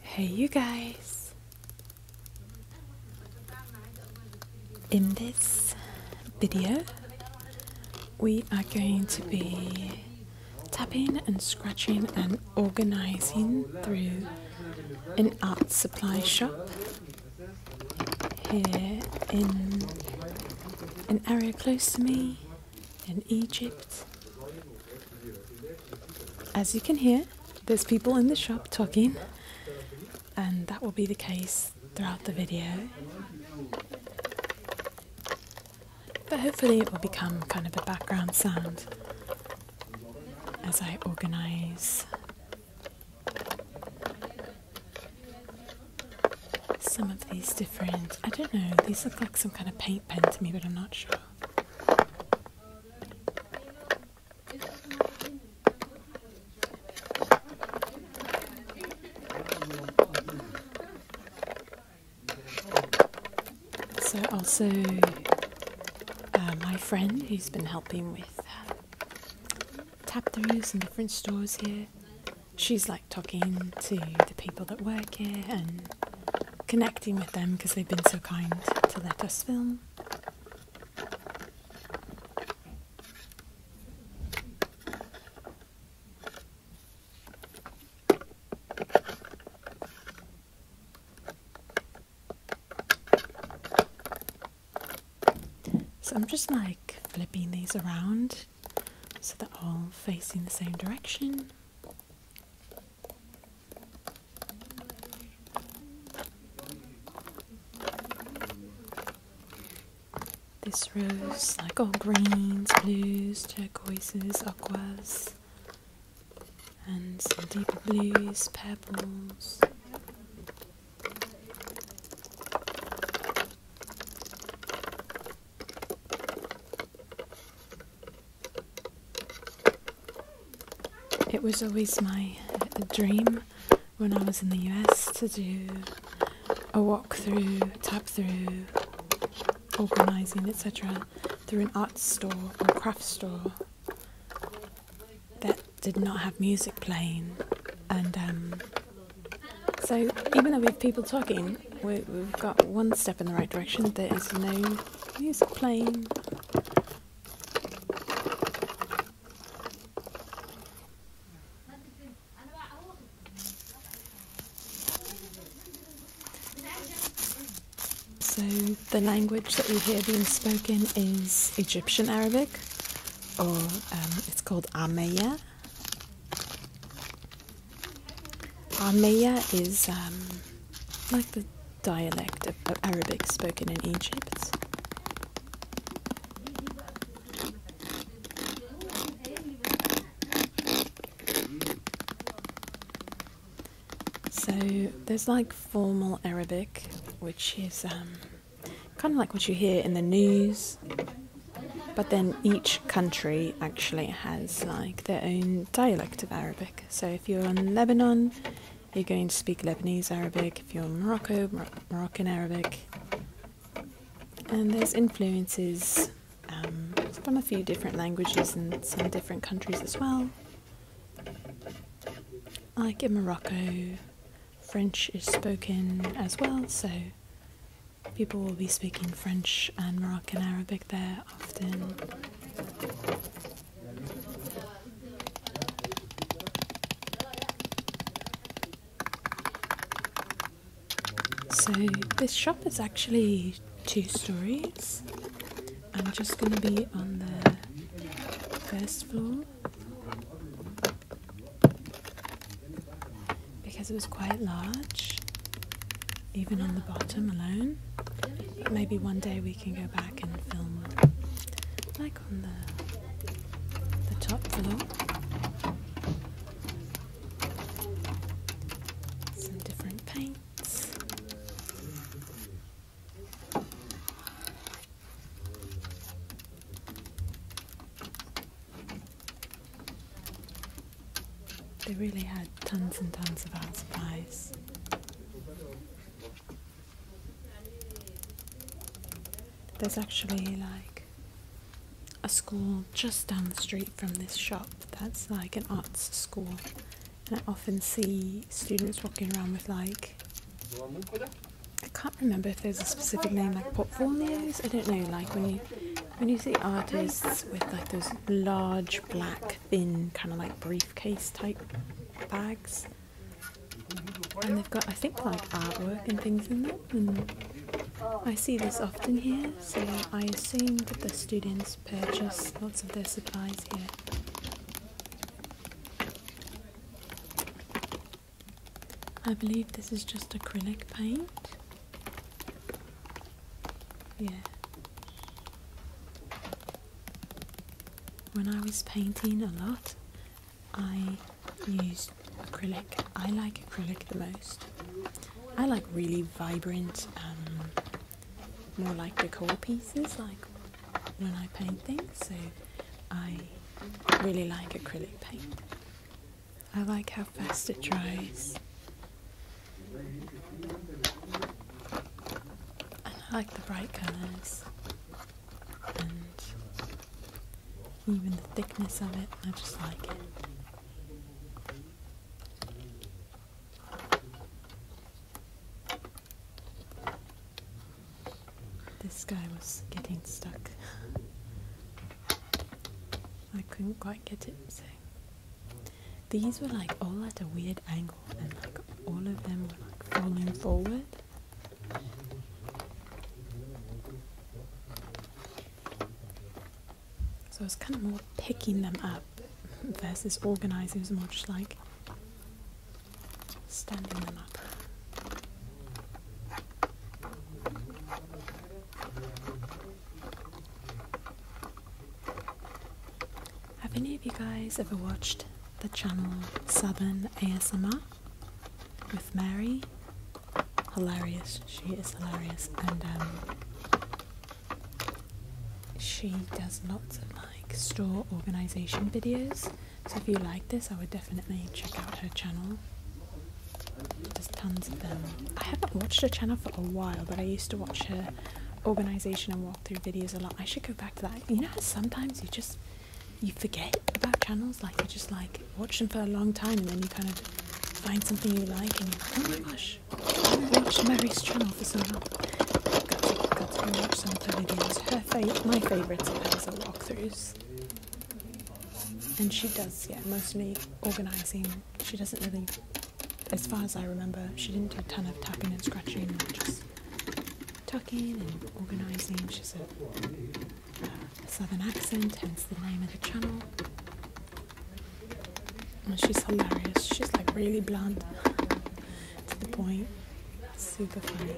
Hey, you guys. In this video, we are going to be tapping and scratching and organizing through an art supply shop here in an area close to me in Egypt. As you can hear, there's people in the shop talking, and that will be the case throughout the video. But hopefully, it will become kind of a background sound as I organize some of these different. I don't know, these look like some kind of paint pen to me, but I'm not sure. So, also, uh, my friend who's been helping with uh, tap throughs in different stores here she's like talking to the people that work here and connecting with them because they've been so kind to let us film. So I'm just like flipping these around so they're all facing the same direction. This rose, like all greens, blues, turquoises, aquas, and some deeper blues, purples. It was always my uh, dream when I was in the US to do a walk-through, tap through, organising, etc., through an art store or craft store that did not have music playing and um, so even though we have people talking, we, have got one step in the right direction. There is no music playing. So the language that we hear being spoken is Egyptian Arabic, or um, it's called Ameya, Armenia is um, like the dialect of, Arabic spoken in Egypt. So there's like formal Arabic, which is um, kind of like what you hear in the news but then each country actually has like their own dialect of Arabic. So if you're in Lebanon, you're going to speak Lebanese Arabic. If you're in Morocco, Moroccan Arabic. And there's influences um, from a few different languages in some different countries as well. Like in Morocco, French is spoken as well, so People will be speaking French and Moroccan Arabic there often. So this shop is actually two stories. I'm just going to be on the first floor because it was quite large, even on the bottom alone. maybe one day we can go back and film like on the, the top floor. Some different paints. They really had tons and tons of art supplies. There's actually like a school just down the street from this shop that's like an arts school and I often see students walking around with like I can't remember if there's a specific name like Pop portfolios I don't know like when you when you see artists with like those large, black, thin, kind of like briefcase type bags, and they've got, I think, like artwork and things in them, and I see this often here, so I assume that the students purchase lots of their supplies here. I believe this is just acrylic paint. Yeah. When I was painting a lot, I used acrylic. I like acrylic the most. I like really vibrant, um, more like decor pieces, like when I paint things. So I really like acrylic paint. I like how fast it dries. And I like the bright colours. And even the thickness of it, I just like it. This guy was getting stuck. I couldn't quite get it. These were like all at a weird angle, and like all of them were like falling forward. So I was kind of more picking them up versus organizing, as much like standing them up. Have any of you guys ever watched the channel Southern ASMR with Mary? Hilarious, she is hilarious, and um, she does lots of like store organization videos. So if you like this, I would definitely check out her channel. There's tons of them. I haven't watched her channel for a while, but I used to watch her organization and walkthrough videos a lot. I should go back to that. You know how sometimes you just you forget about channels, like you just like watch them for a long time and then you kind of find something you like and you're oh Watch Mary's channel for so long. Got to, got to watch some of her videos. my favorites of hers are walkthroughs. And she does, yeah, mostly organizing. She doesn't really as far as I remember, she didn't do a ton of tapping and scratching, just tucking and organising. She's a, uh, a southern accent, hence the name of the channel. And she's hilarious. She's like really blunt, to the point. Super funny.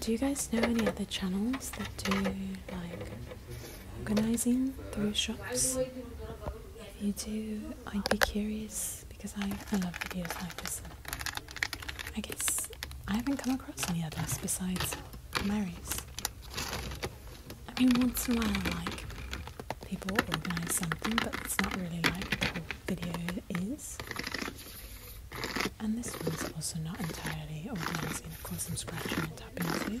Do you guys know any other channels that do like organizing through shops? If you do, I'd be curious because I, I love videos like this. I guess I haven't come across any others besides Mary's. I mean, once in a while, like people organise something, but it's not really like the video is. And this one's also not entirely organising, of course, I'm scratching and tapping too.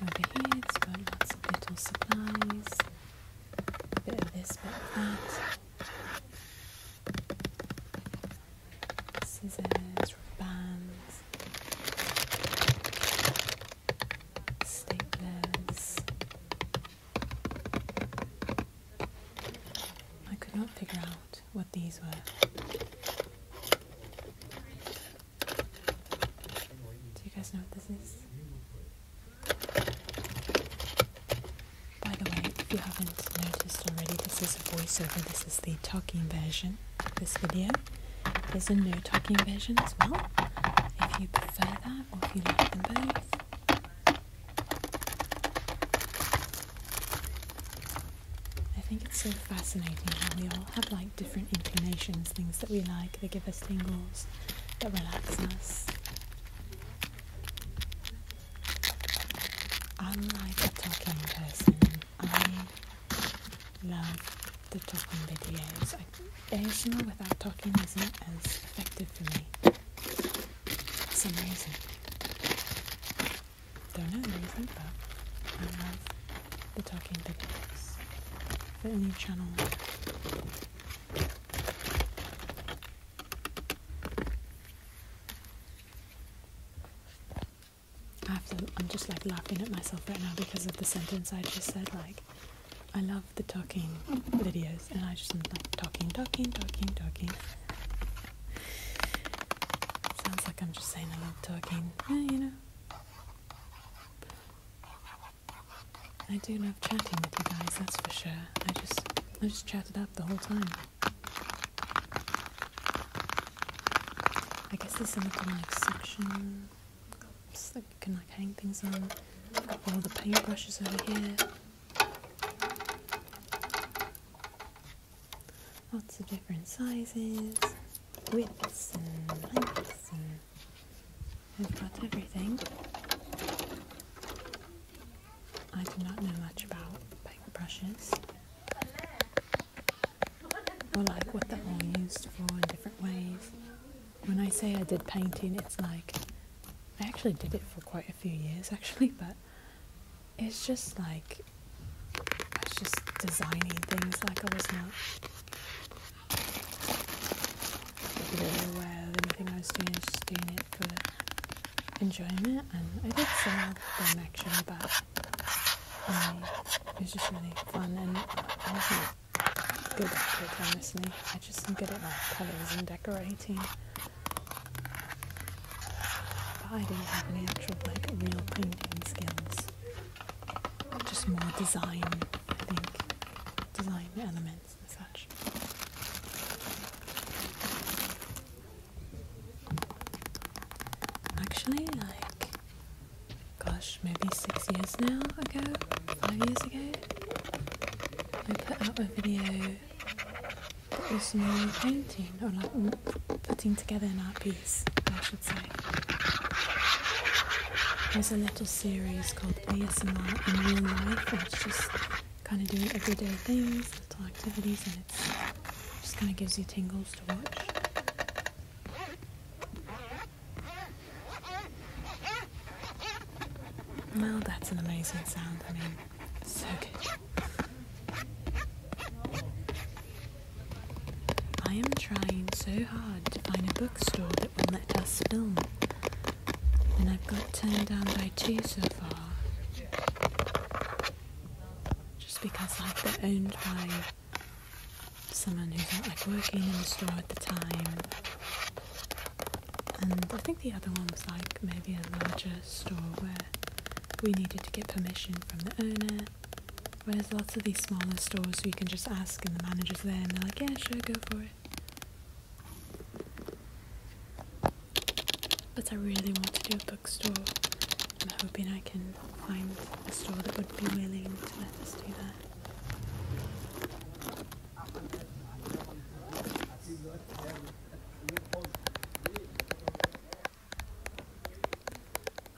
Over here it's got lots little supplies, a bit of this, bit of that. Scissors, bands, staplers. I could not figure out what these were. Do you guys know what this is? By the way, if you haven't noticed already, this is a voiceover. This is the talking version of this video. There's a no talking version as well. If you prefer that or if you like them both. I think it's so fascinating how we all have like different inclinations, things that we like. They give us tingles they relax us. I'm like a talking person. I love the talking videos. I, ASMR without talking isn't as effective for me. For some reason. Don't know the reason, but I the talking videos for a new channel. I have to, I'm just like laughing at myself right now because of the sentence I just said. Like, I love the talking videos, and I just am like talking, talking, talking, talking. Sounds like I'm just saying I love talking. Yeah, you know. I do love chatting with you guys, that's for sure. I just I just chatted up the whole time. I guess there's some kind of like section that you can like hang things on. I've got all the paintbrushes over here. Lots of different sizes, widths and lengths and I've got everything. I do not know much about paintbrushes. Or like what they're all used for in different ways. When I say I did painting, it's like I actually did it for quite a few years actually, but it's just like I was just designing things like I was not I you not aware of anything I was doing, I was just doing it for enjoyment. And I did some of them actually, but um, it was just really fun. And I wasn't good at kids, honestly. I just don't get it like colours and decorating. But I didn't have any actual like real painting skills. Just more design I think, design elements and such. Actually, like, gosh, maybe six years now ago, five years ago, I put out a video that was me painting or like putting together an art piece. There's a little series called ASMR in Real Life, where it's just kind of doing everyday things, little activities, and it's just kind of gives you tingles to watch. Well, that's an amazing sound. I mean, so good. I am trying so hard to find a bookstore that will let us film, and I've got turned down by two so far. Just because like they're owned by someone who's not like working in the store at the time. And I think the other one was like maybe a larger store where we needed to get permission from the owner but there's lots of these smaller stores, so you can just ask, and the manager's there, and they're like, yeah, sure, go for it. But I really want to do a bookstore. I'm hoping I can find a store that would be willing to let us do that.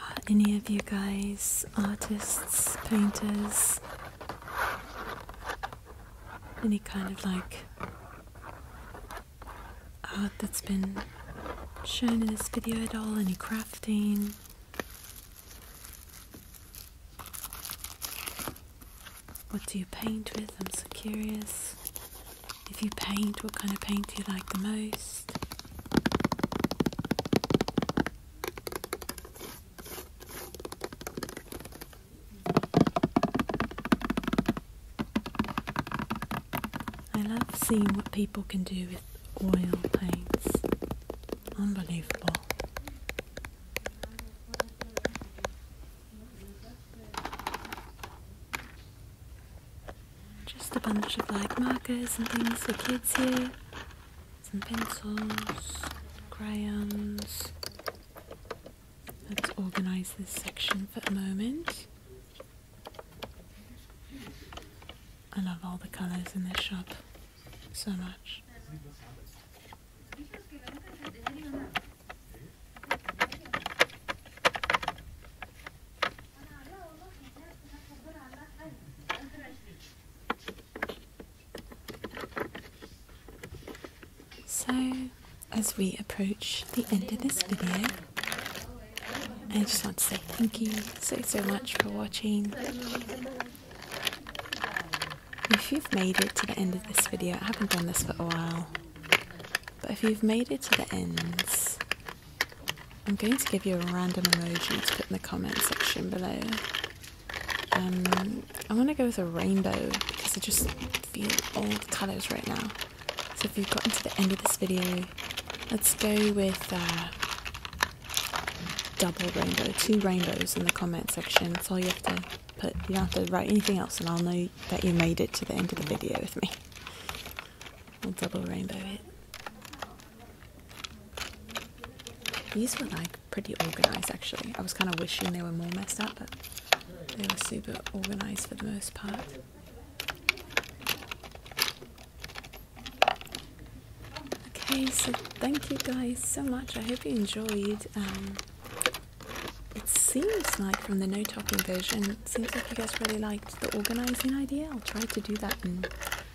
Are any of you guys artists, painters, any kind of like art that's been shown in this video at all, any crafting. What do you paint with? I'm so curious. If you paint, what kind of paint do you like the most? I love seeing what people can do with oil paints. Unbelievable. Just a bunch of like markers and things for kids here some pencils, crayons. Let's organise this section for a moment. I love all the colours in this shop so much. So, as we approach the end of this video, I just want to say thank you so so much for watching. If you've made it to the end of this video, I haven't done this for a while, but if you've made it to the end, I'm going to give you a random emoji to put in the comment section below. Um, I want to go with a rainbow because I just feel all the colours right now. So if you've gotten to the end of this video, let's go with uh, double rainbow, two rainbows in the comment section. That's all you have to put. You don't have to write anything else, and I'll know that you made it to the end of the video with me. I'll double rainbow it. These were like pretty organized actually. I was kind of wishing they were more messed up, but they were super organized for the most part. Okay, so thank you guys so much. I hope you enjoyed. Um, it seems like from the no talking version, seems like you guys really liked the organizing idea. I'll try to do that in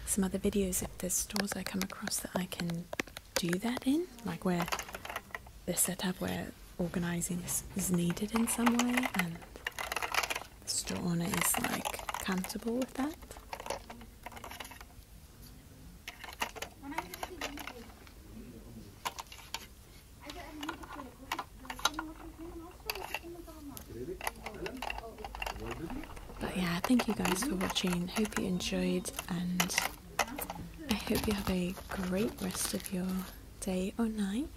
some other videos there's stores I come across that I can do that in, like where the setup where organising is, is needed in some way, and the store owner is like comfortable with that. But yeah, thank you guys for watching. Hope you enjoyed, and I hope you have a great rest of your day or night.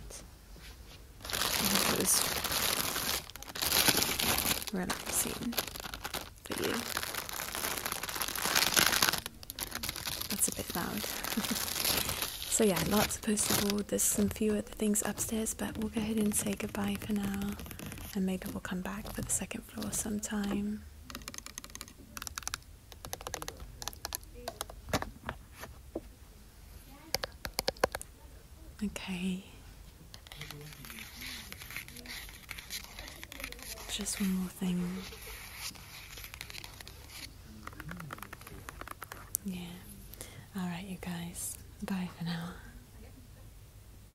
relaxing for you. That's a bit loud. so yeah, lots of postable. There's some few other things upstairs, but we'll go ahead and say goodbye for now and maybe we'll come back for the second floor sometime. Okay. Just one more thing. Yeah. Alright, you guys. Bye for now.